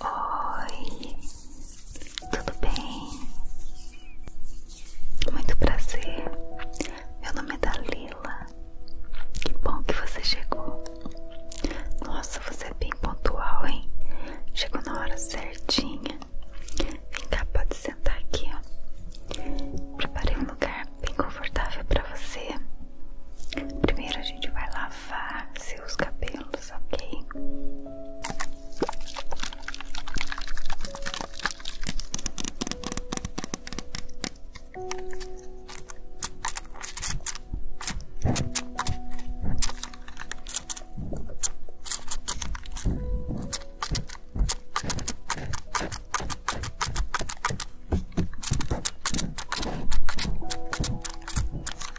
Oi, tudo bem? Muito prazer, meu nome é Dalila. Que bom que você chegou. Nossa, você é bem pontual, hein? Chegou na hora certinha. Vem cá, pode sentar aqui, Preparei um lugar bem confortável para você. Primeiro a gente vai lá lavar seus cabelos, ok?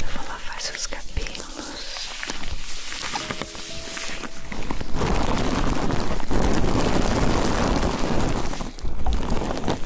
Vou lavar seus cabelos.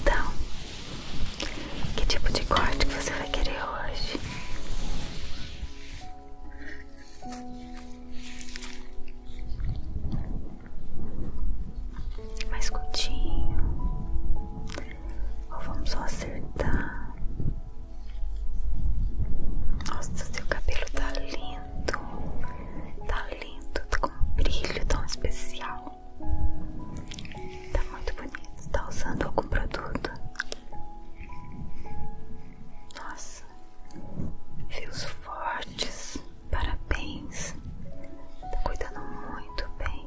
Então, que tipo de corte você vai querer hoje? Mais curtinho, ou vamos só acertar? Nossa, seu cabelo tá lindo tá lindo, tá com um brilho tão especial. Tá muito bonito. Tá usando algum produto? Nossa, fios fortes, parabéns. Tá cuidando muito bem.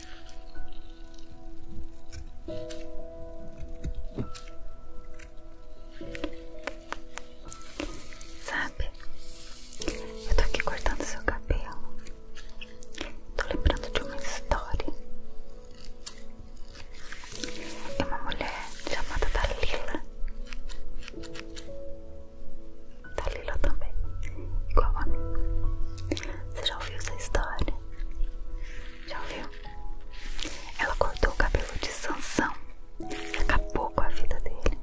Sabe, eu tô aqui cortando seu cabelo. Tô lembrando de uma história. de é uma mulher chamada Dalila. Dalila também, igual a mim. Você já ouviu essa história? Já ouviu? Ela cortou o cabelo de Sansão e acabou com a vida dele.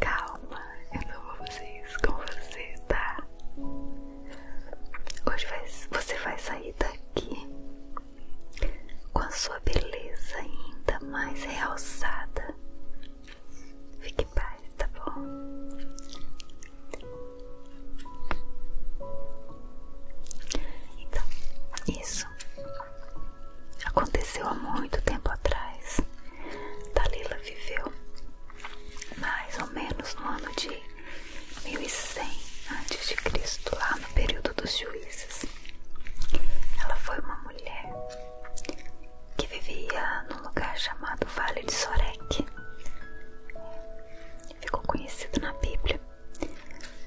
Calma, eu não vou fazer isso com você, tá? Hoje vai, você vai sair daqui com a sua beleza ainda mais realçada Fique em paz, tá bom? Então, isso aconteceu há muito tempo atrás. Dalila viveu mais ou menos no ano de 1100 a.C., lá no período dos juízes. Ela foi uma mulher que vivia num lugar chamado Vale de Sorek. Ficou conhecida na Bíblia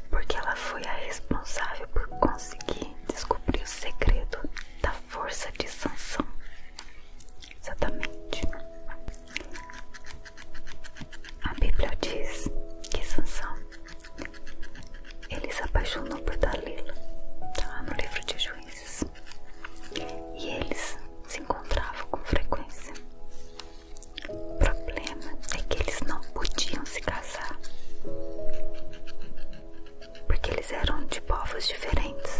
porque ela foi a responsável por conseguir descobrir o segredo da força de Sansão. Exatamente. A Bíblia diz que Sansão ele se apaixonou por Dalila, tá lá no livro de Juízes. E eles se encontravam com frequência. O problema é que eles não podiam se casar. Porque eles eram de povos diferentes.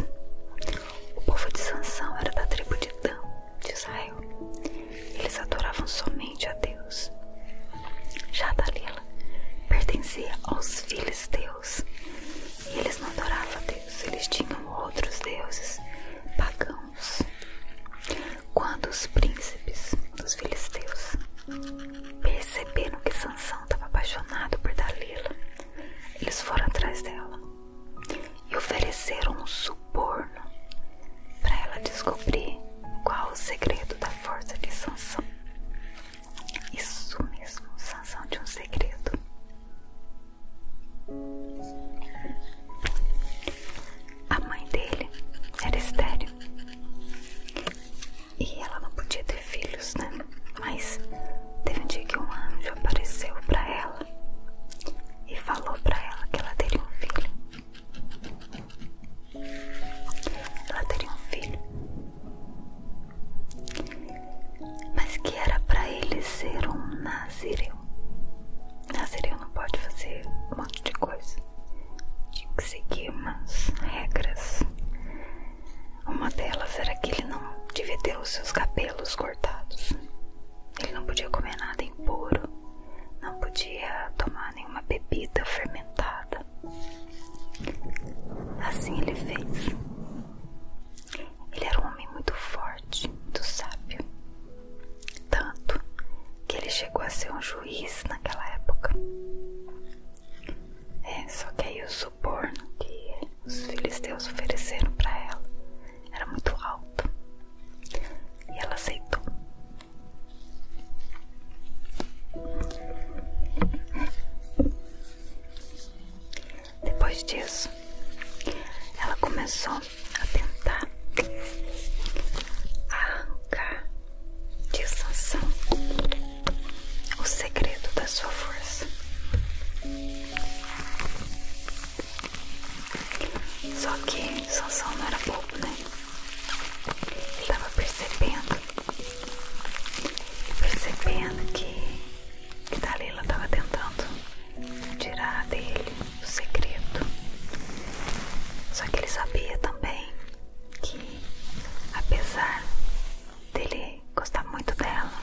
O povo de Sansão era da tribo de Dan, de Israel. Eles adoravam somente a Deus. Já Dalila pertencia aos filisteus. E eles não adoravam a Deus, eles tinham outros deuses pagãos. Quando os príncipes dos filisteus perceberam que Sansão estava apaixonado por Dalila, eles foram atrás dela e ofereceram um suborno para ela descobrir qual o segredo da força de Sansão. Isso mesmo, sanção de um segredo. A mãe dele era estéreo e ela não podia ter filhos, né? Mas teve um dia que um anjo apareceu para ela e falou para ela que ela teria um filho. Ela teria um filho mas que era para ele ser um nazireu. Nazireu não pode fazer um monte de coisa, tinha que seguir umas regras. Uma delas era que ele não devia ter os seus cabelos cortados, ele não podia comer nada impuro, não podia tomar nenhuma bebida fermentada. Assim ele fez. Ele era um homem muito forte, muito sábio, tanto que ele chegou a ser um juiz naquela época. É, só que aí o suborno que os filisteus ofereceram para ela era muito alto e ela aceitou. Depois disso, ela começou a tentar arrancar de Sansão o segredo da sua força. Só que Sansão não era bobo, né? Ele estava percebendo percebendo que, que Dalila estava tentando tirar dele o segredo. Só que ele sabia também que, apesar dele gostar muito dela,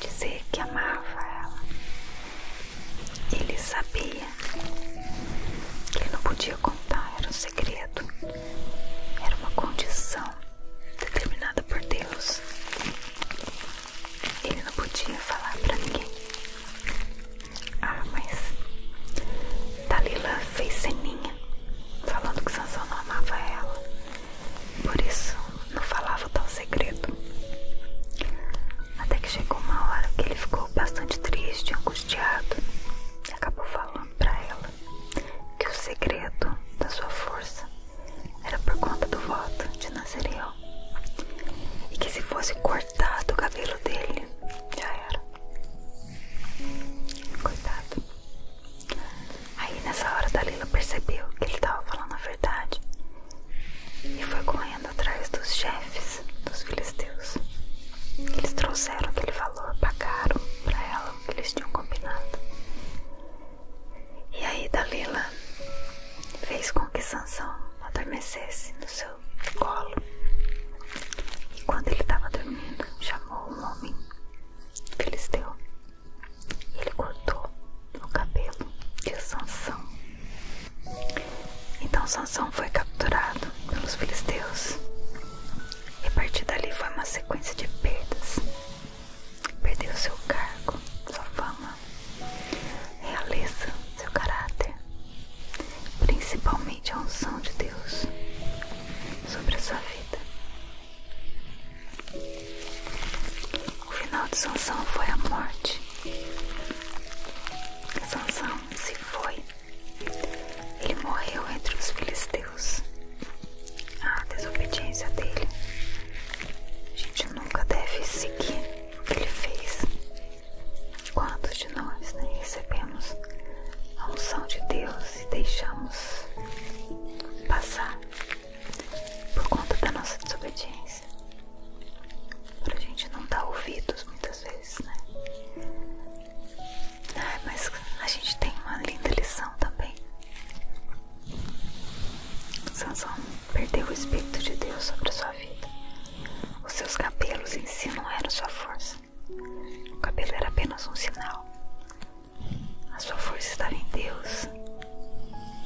dizer que amava ela, ele sabia que ele não podia contar, o segredo. Era uma condição determinada por Deus. Ele não podia falar para ninguém. Ah, mas Dalila fez ceninha, falando que Sansão não amava ela. Por isso não falava o tal segredo. Até que chegou uma hora que ele ficou bastante triste, angustiado. E acabou falando pra ela que o segredo da sua força era por conta do voto de Nazireu e que se fosse cortado o cabelo dele, já era. Coitado. Aí nessa hora Dalila percebeu que ele estava falando a verdade e foi correndo atrás dos chefes dos filisteus. Eles trouxeram aquele valor, pagaram para ela o que eles tinham combinado. E aí Dalila fez com que Sansão adormecesse no seu colo. E quando ele estava dormindo, chamou um homem filisteu. Ele cortou o cabelo de Sansão. Então Sansão foi capturado pelos filisteus. E a partir dali foi uma sequência de perdas Perdeu seu cargo, sua fama, realeza, seu caráter, principalmente a unção de Deus sobre a sua vida. O final de sanção foi a morte. Sanção se foi. Ele morreu entre os filisteus. Deus, a desobediência dele. A gente nunca deve seguir o que ele fez. Quantos de nós né, recebemos a unção de Deus e deixamos passar por conta da nossa desobediência? Para a gente não dar ouvidos muitas vezes, né? mas a gente tem uma linda lição também. Sansão perdeu o Espírito de Deus sobre a sua vida. Os seus cabelos em si não eram sua força. O cabelo era apenas um sinal. A sua força estava em Deus.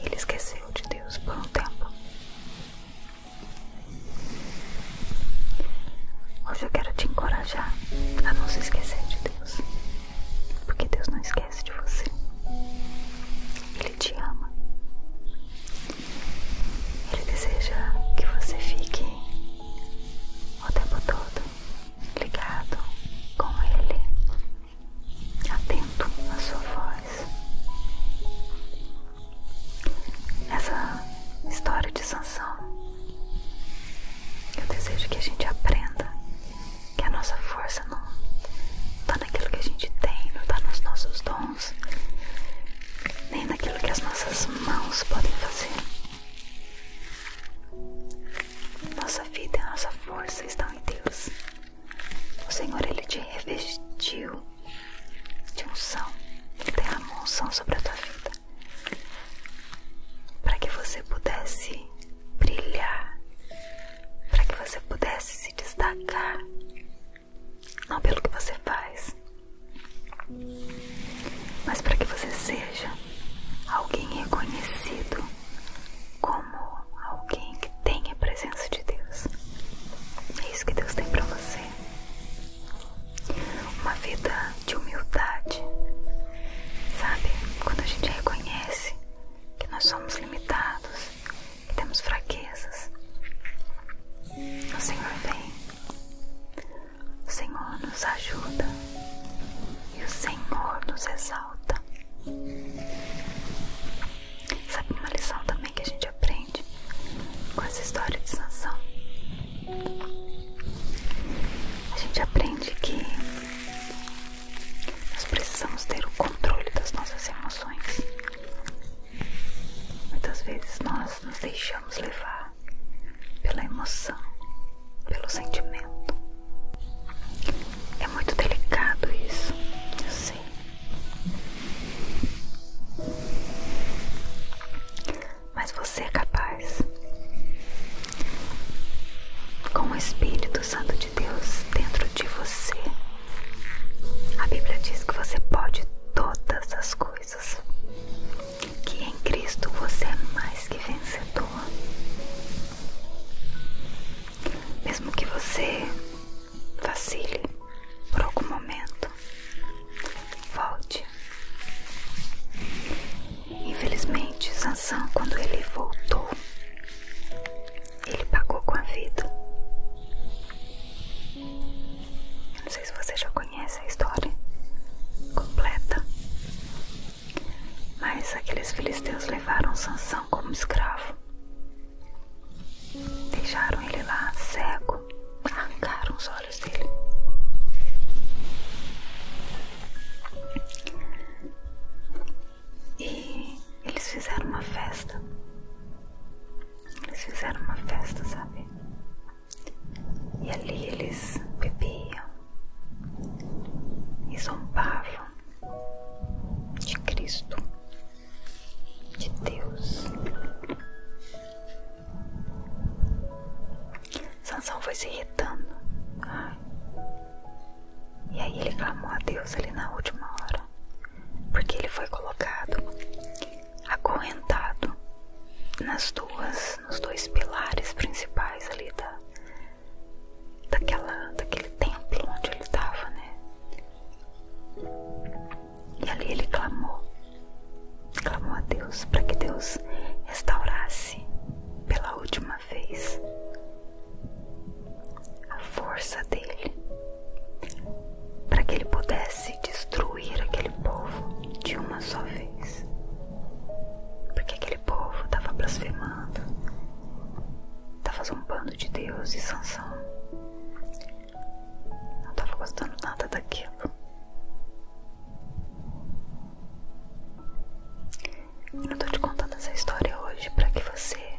Ele esqueceu de Deus por um tempo. Hoje eu quero te encorajar a não se esquecer de Deus. Porque Deus não esquece de você. Ele te ama. Ele deseja que você fique o tempo todo ligado com Ele, atento à sua voz. Essa história de sanção. Eu desejo que a gente aprenda que a nossa força não está naquilo que a gente tem, não está nos nossos dons, nem naquilo que as nossas mãos podem fazer. Nossa vida e nossa força estão em Deus. O Senhor, Ele te revestiu de unção, Ele derramou unção sobre a tua vida, para que você pudesse brilhar, para que você pudesse se destacar, não pelo que você faz, mas para que você seja alguém reconhecido como alguém que tem a presença de Deus. É isso que Deus tem para você. Uma vida de humildade, sabe? Quando a gente reconhece que nós somos limitados, que temos fraquezas, o Senhor vem, o Senhor nos ajuda e o Senhor nos exalta. Sabe uma lição também que a gente aprende com essa história de Sansão? A gente aprende que nós precisamos ter o controle das nossas emoções. Muitas vezes nós nos deixamos levar pela emoção, pelo sentimento. É muito delicado isso, eu sei. Mas você é capaz com o Espírito Santo de Deus dentro de você, a Bíblia diz que você pode todas as coisas, que em Cristo você é mais que vencedor. Mesmo que você vacile por algum momento, volte. Infelizmente, Sansão, quando ele voltou, ele pagou com a vida. não sei se você já conhece a história completa, mas aqueles filisteus levaram Sansão como escravo. Deixaram ele lá cego, arrancaram os olhos dele. E eles fizeram uma festa. Eles fizeram uma festa, sabe? E ali eles bebiam e zombavam de Cristo, de Deus. Sansão foi se irritando. E aí ele clamou a Deus ali na última hora. Porque ele foi colocado acorrentado nas duas, nos dois pilares principais ali da, daquela, daquele templo onde ele estava, né? E ali ele clamou, clamou a Deus para que Deus restaurasse pela última uma vez a força dele para que ele pudesse destruir aquele povo de uma só vez, porque aquele povo estava blasfemando, estava zombando de Deus e Sansão, não estava gostando nada daquilo. Eu tô te contando essa história hoje para que você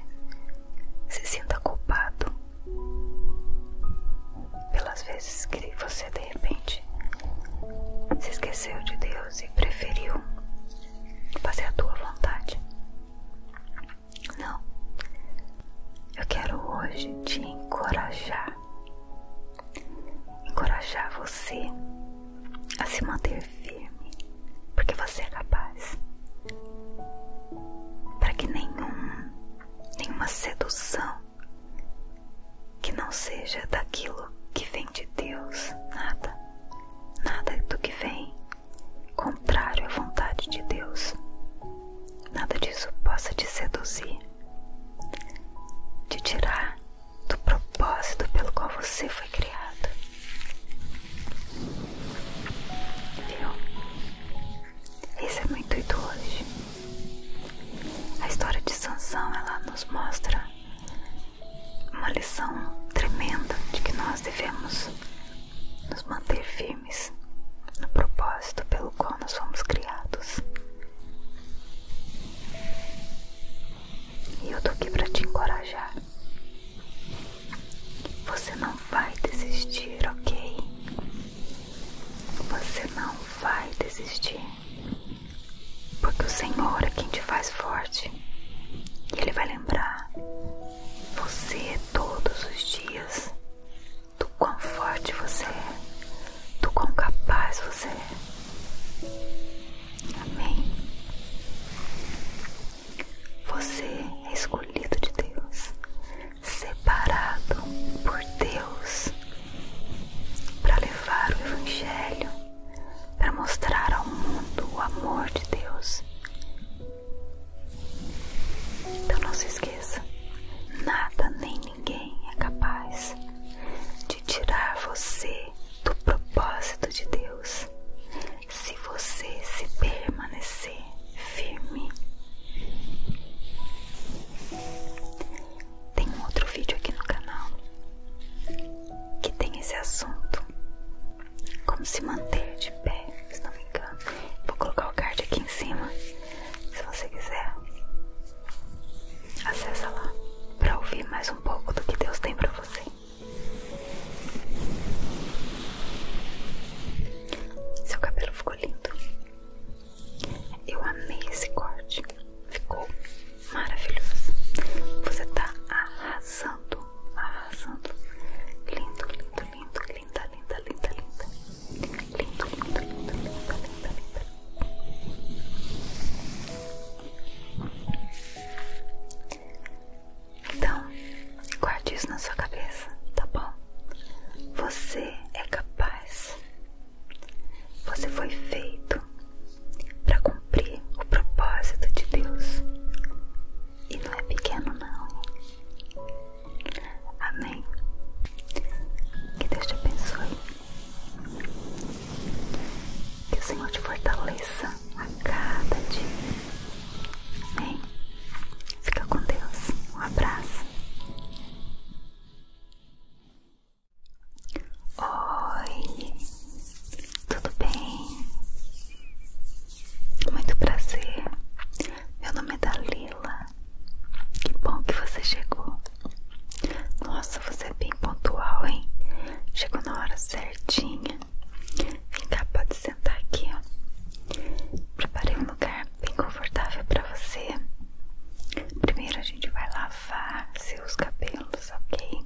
se sinta culpado pelas vezes que você de repente se esqueceu de Deus e preferiu fazer a tua vontade. Não, eu quero hoje te encorajar encorajar você a se manter firme, porque você é capaz. Para que nenhuma sedução que não seja daquilo que vem de Deus, nada, nada do que vem contrário à vontade de Deus, nada disso possa te seduzir, te tirar do propósito pelo qual você foi criado. Viu? Esse é muito intuito hoje. A história de Sansão ela nos mostra uma lição tremenda de que nós devemos nos manter firmes no propósito pelo qual nós fomos criados. E eu tô aqui pra te encorajar. Você não vai desistir, ok? Você não vai desistir. Porque o Senhor é quem te faz forte. E Ele vai lembrar você todos os dias do quão forte você é do quão capaz você é. Amém. Você é escolhido de Deus, separado por Deus, para levar o Evangelho, para mostrar ao mundo o amor de Deus. Então não se esqueça, nada nem ninguém é capaz de tirar você do propósito de Deus. Se você se permanecer firme. Tem um outro vídeo aqui no canal que tem esse assunto. Como se manter de pé, se não me engano. Vou colocar o card aqui em cima. Se você quiser, acessa lá para ouvir mais um um pouco do que Deus tem para você. Seu cabelo ficou lindo. Eu amei esse corte. Ficou maravilhoso. Você tá arrasando, arrasando. Lindo, lindo, lindo, linda, linda, linda, linda. Lindo, lindo, lindo, linda, linda, linda, então, guarde isso na sua cabeça, tá bom? Você é capaz. Você foi feito para cumprir o propósito de Deus. E não é pequeno não. Amém. Que Deus te abençoe. Que o Senhor te fortaleça a cada dia. Amém? Fica com Deus. Um abraço. Oi, tudo bem? Muito prazer. Meu nome é Dalila. Que bom que você chegou. Nossa, você é bem pontual, hein? Chegou na hora certinha. Vem cá, pode sentar aqui, ó. Preparei um lugar bem confortável para você. Primeiro a gente vai lavar seus cabelos, ok?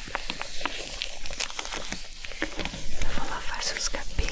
Eu vou lavar seus cabelos.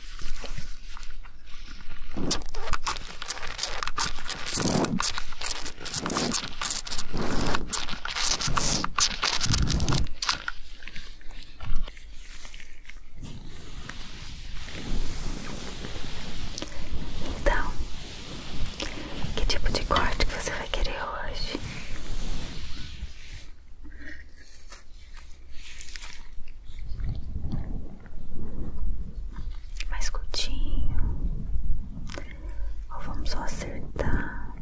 Então, que tipo de corte que você vai querer hoje? mais curtinho, ou vamos acertar.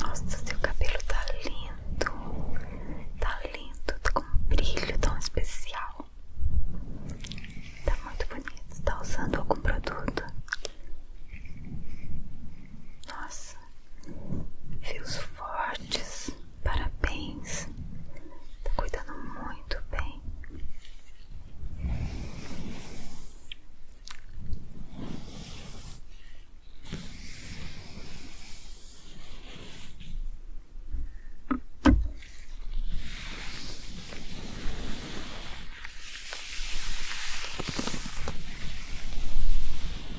Nossa, seu cabelo tá lindo, tá lindo, tá com um brilho tão especial. Tá muito bonito. Tá usando algum produto? Nossa. Nossa, fios fortes, parabéns, tá cuidando muito bem.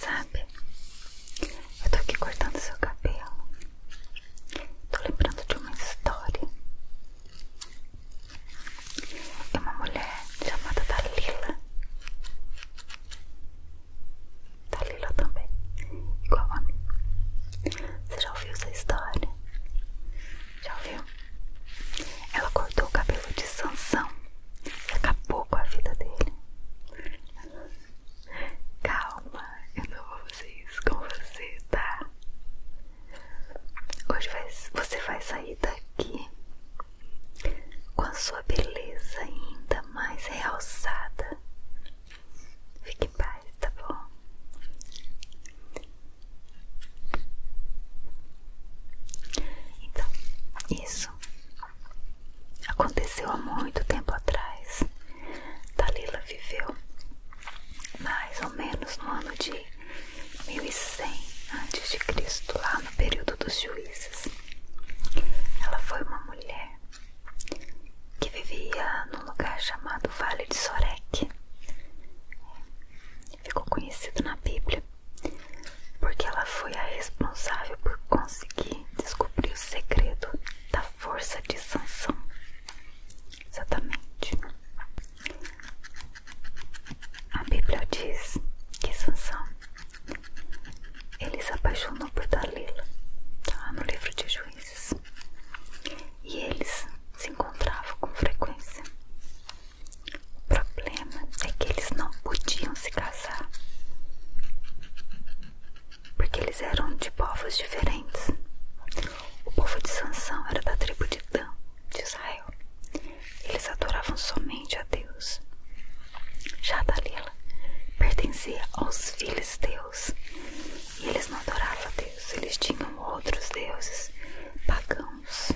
Sabe, eu tô aqui cortando seu cabelo Tô lembrando de uma história. É uma mulher chamada Dalila. Dalila também, igual a mim. Você já ouviu essa história? Já ouviu? Ela cortou o cabelo de Sansão e acabou com a vida dele. Calma, eu não vou fazer isso com você, tá? Hoje vai, você vai sair daqui com a sua beleza ainda mais realçada. Fique em paz, tá bom? Então, isso aconteceu há muito tempo atrás. Dalila viveu mais ou menos no ano de 1100 a.C., lá no período dos juízes. Ela foi uma mulher que vivia num lugar chamado Vale de Sorek. Ficou conhecido na Bíblia porque ela foi a responsável por conseguir descobrir o segredo da força de Sansão. Exatamente. A Bíblia diz que Sansão ele se apaixonou por Dalila, tá? no livro de Juízes. E eles se encontravam com frequência. O problema é que eles não podiam se casar porque eles eram de povos diferentes. O povo de Sansão era da tribo de Dan, de Israel. Eles adoravam somente a Deus. Já Dalila pertencia aos filisteus. E eles não adoravam a Deus, eles tinham outros deuses pagãos.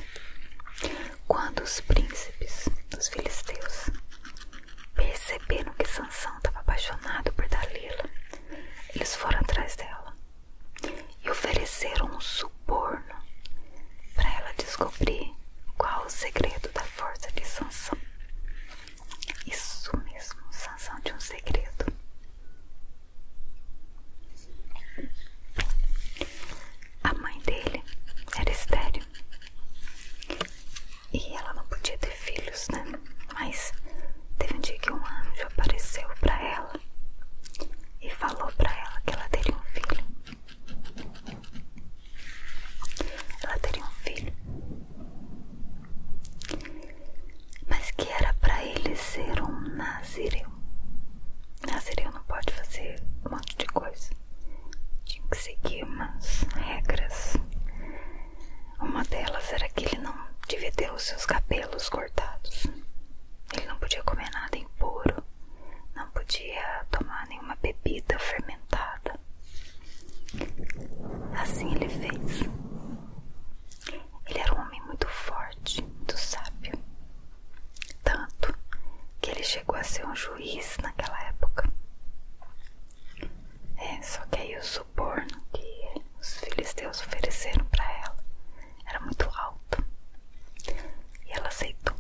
Quando os príncipes dos filisteus perceberam que Sansão estava apaixonado por Dalila. Eles foram atrás dela e ofereceram um suborno para ela descobrir qual o segredo da força de Sansão. Isso mesmo, Sansão tinha um segredo. A mãe dele era estéreo e ela não podia ter filhos, né? Mas teve um dia que um anjo apareceu para ela e falou para ela que ela teria um filho. Ela teria um filho. Mas que era para ele ser um nazireu. Nazireu não pode fazer um monte de coisa. Tinha que seguir umas regras uma delas era que ele não devia ter os seus cabelos cortados. Ele não podia comer nada impuro, não podia tomar nenhuma bebida fermentada. Assim ele fez. Ele era um homem muito forte, muito sábio. Tanto que ele chegou a ser um juiz naquela época. É, só que aí o suborno que os filisteus ofereceram para ela era muito alto e ela aceitou.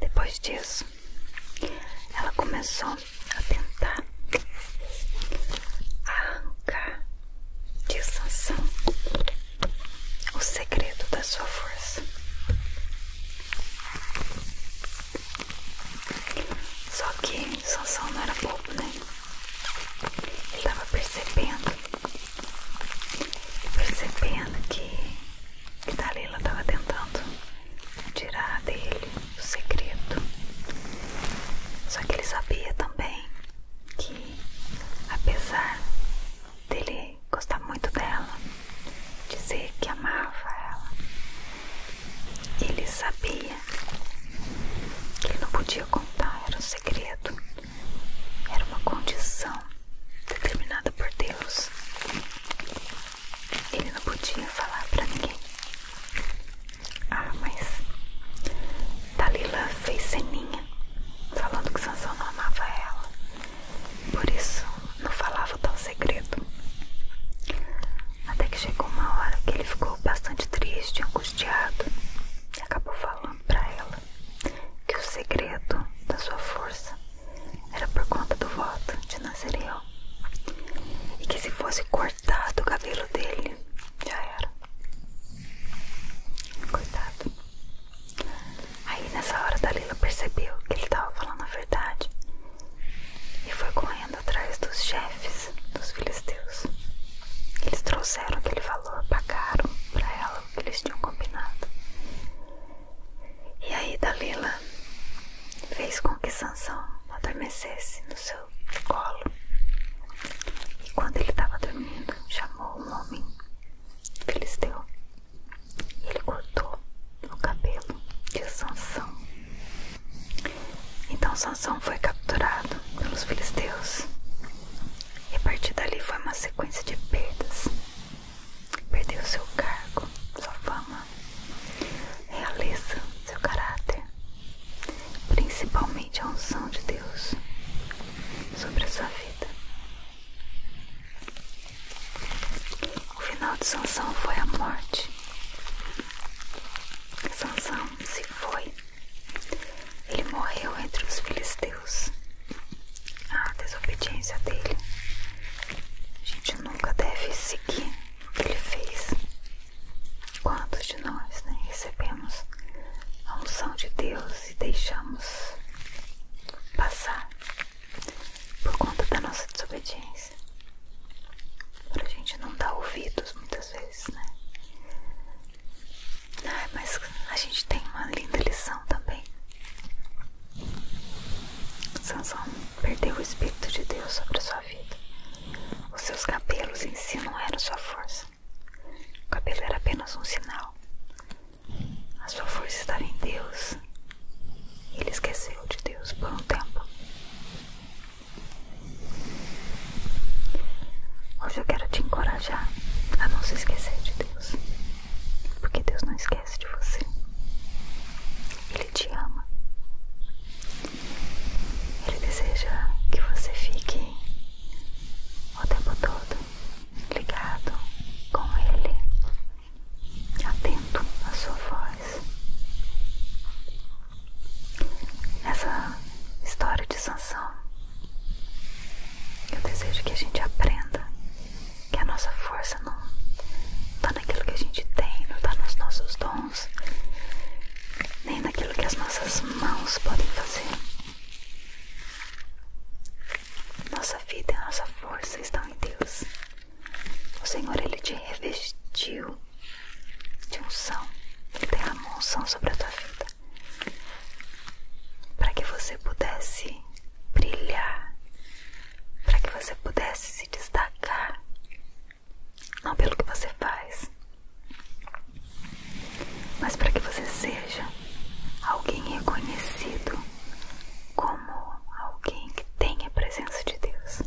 Depois disso, ela começou a tentar arrancar de Sansão o segredo da sua força. Só que Sansão não era bobo, né? Ele estava percebendo, percebendo que, que Dalila estava tentando tirar dele o segredo. Só que ele sabia também que, apesar dele gostar muito dela, dizer que amava ela. Ele sabia que ele não podia contar, era um segredo, era uma condição determinada por Deus. Ele não podia falar para ninguém. Ah, mas Dalila fez ceninha falando que Sansão não amava ela. Por isso não falava tal segredo. Até que chegou uma hora que ele ficou bastante triste, angustiado, e acabou falando para ela que o segredo da sua força era por conta do voto de Nazireu. E que se fosse cortado o cabelo dele, já era. cuidado Aí nessa hora Dalila percebeu que ele estava falando a verdade e foi correndo atrás dos chefes dos filisteus. Eles trouxeram aquele valor, pagaram para ela o que eles tinham combinado. E aí Dalila fez com que Sansão adormecesse no seu colo. E quando ele estava dormindo, chamou um homem filisteu ele cortou o cabelo de Sansão. Então Sansão foi capturado pelos filisteus e a partir dali foi uma sequência de perdas. Perdeu seu cargo, sua fama, realeza, seu caráter, principalmente a unção de Deus sobre a sua vida. O final de Sansão foi a morte. Sansão se foi. Ele morreu entre os filisteus. A desobediência dele. A gente nunca deve seguir o que ele fez. Quantos de nós né, recebemos a unção de Deus e deixamos passar por conta da nossa desobediência. Pra gente não dar ouvidos muitas vezes, né? mas a gente tem uma linda lição também. Sansão perdeu o Espírito de Deus sobre a sua vida. Os seus cabelos em si não eram sua força. O cabelo era apenas um sinal. A sua força está em Deus. Ele esqueceu de Deus por um tempo. Hoje eu quero te encorajar a não se esquecer de Deus. Porque Deus não esquece de você. Ele te ama. Ele deseja que você fique o tempo todo ligado, com ele, atento à sua voz. Essa história de Sansão, eu desejo que a gente aprenda que a nossa força não está naquilo que a gente tem, não está nos nossos dons, nem naquilo que as nossas mãos podem fazer. Nossa vida e nossa força estão em Deus. O Senhor, Ele te revestiu de unção. Ele tem a unção sobre a tua vida. Para que você pudesse brilhar. Para que você pudesse se destacar. Não pelo que você faz, mas para que você seja alguém reconhecido como alguém que tem a presença de Deus.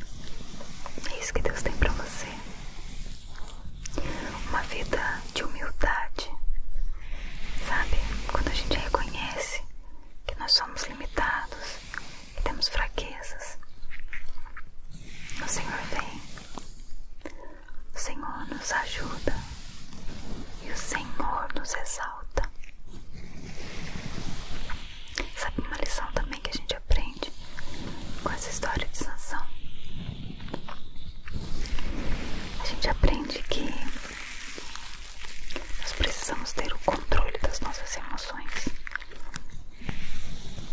É isso que Deus tem para você. Uma vida de humildade, sabe? Quando a gente reconhece que nós somos limitados, que temos fraquezas, o Senhor vem, o Senhor nos ajuda e o Senhor nos exalta. Sabe uma lição também que a gente aprende com essa história de sanção? A gente aprende que nós precisamos ter o controle das nossas emoções.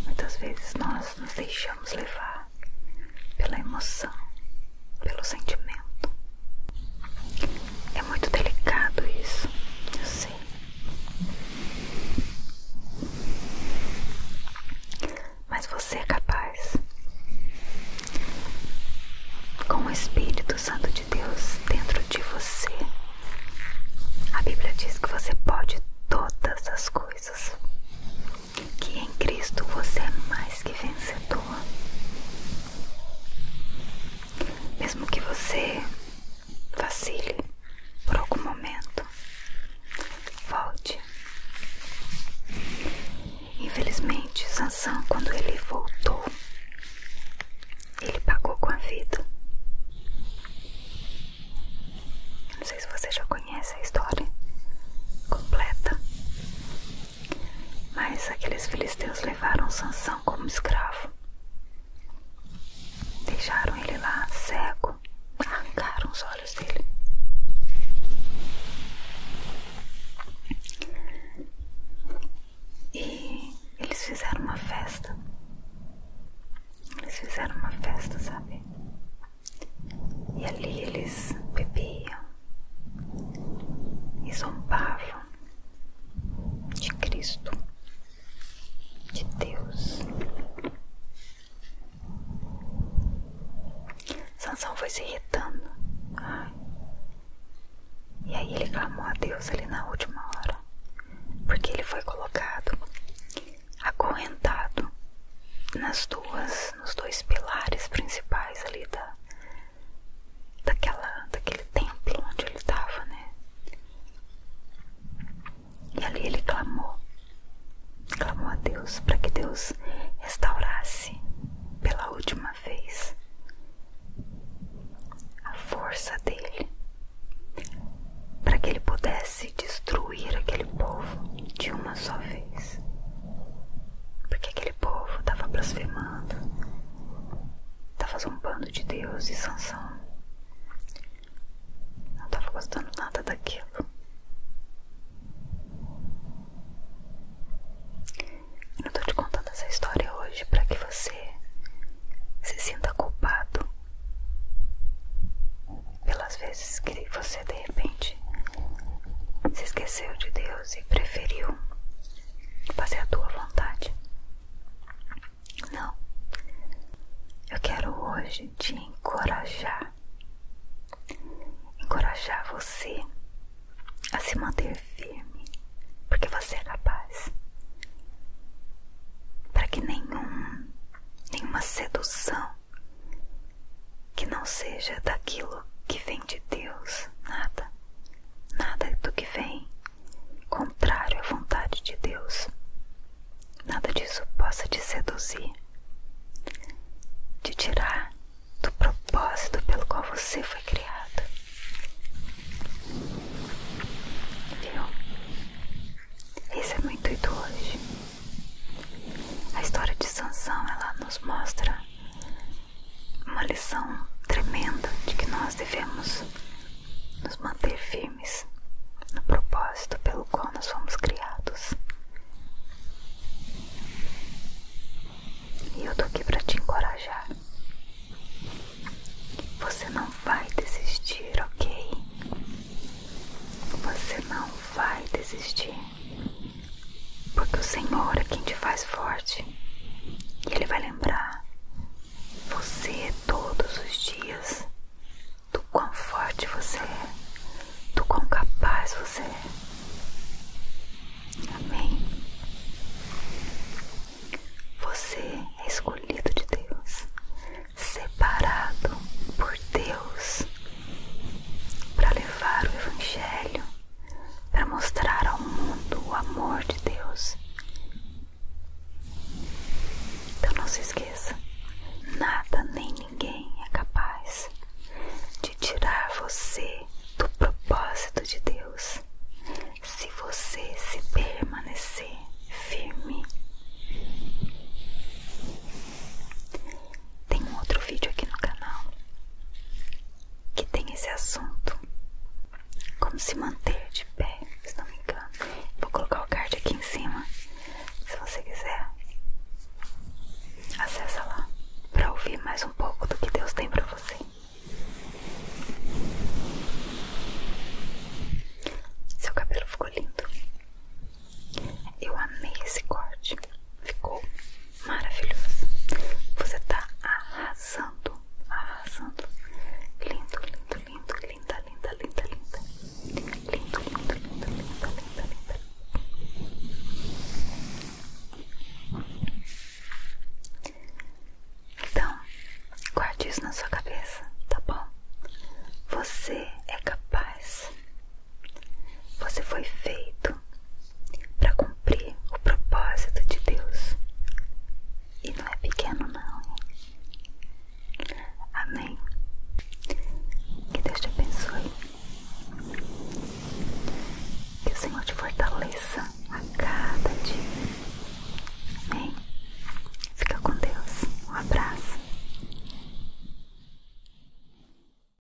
Muitas vezes nós nos deixamos levar pela emoção, pelo sentimento. É muito delicado isso, eu sei. Mas você é capaz. Com o Espírito Santo de Deus dentro de você, a Bíblia diz que você pode todas as coisas que em Cristo você é mais que vencedor. Mesmo que você vacile por algum momento, volte. Infelizmente, Sansão, quando ele voltou, ele pagou com a vida. Não sei se você já conhece a história completa, mas aqueles filisteus levaram Sansão como escravo. Deixaram ele lá cego, arrancaram os olhos dele. E eles fizeram uma festa. Eles fizeram uma festa, sabe? E ali eles bebiam, e zombavam de Cristo, de Deus. Sansão foi se irritando. E aí ele clamou a Deus ali na última hora, porque ele foi colocado acorrentado nas duas, nos dois pilares principais ali da, daquela, daquele templo onde ele estava, né? E ali ele clamou, clamou a Deus para que Deus restaurasse pela última vez a força dele, para que ele pudesse destruir aquele povo de uma só vez. Porque aquele povo tava blasfemando, tava zombando de Deus e Sansão. Não tava gostando nada daquilo. Eu tô te contando essa história hoje para que você se sinta culpado pelas vezes que você de repente se esqueceu de Deus e preferiu fazer a tua vontade. Não, eu quero hoje te encorajar, encorajar você a se manter firme, porque você é capaz, para que nenhuma sedução que não seja daquilo que vem de Deus, nada, nada do que vem contrário à vontade de Deus, nada disso possa te seduzir, te tirar do propósito pelo qual você foi criado. Viu? Esse é meu intuito hoje. A história de Sansão, ela nos mostra uma lição tremenda de que nós devemos nos manter firmes no propósito pelo qual nós fomos criados. E eu tô aqui para te encorajar. Você não vai desistir, ok? Você não vai desistir. Porque o Senhor é quem te faz forte. E Ele vai lembrar você todos os dias do quão forte você é, do quão capaz você é. Amém. Você é escolhido de Deus, separado por Deus para levar o Evangelho para mostrar ao mundo o amor de Deus. Então não se esqueça, nada nem ninguém é capaz de tirar você do propósito de Deus. Se você se permanecer firme, tem um outro vídeo aqui no canal que tem esse assunto. Como se manter de pé, se não me engano. Vou colocar o card aqui em cima. Se você quiser, acessa lá para ouvir mais um pouco do que Deus tem para você. Seu cabelo ficou lindo. Eu amei esse corte. Ficou maravilhoso. Você está arrasando, arrasando. Lindo, lindo, lindo, linda, linda, linda, linda. Lindo, lindo, lindo, linda, linda, linda. Então, guarde isso na sua cabeça, tá bom? Você é capaz você foi feito para cumprir o propósito de Deus. E não é pequeno, não. Amém. Que Deus te abençoe. Que o Senhor te fortaleça a cada dia. Amém. Fica com Deus. Um abraço.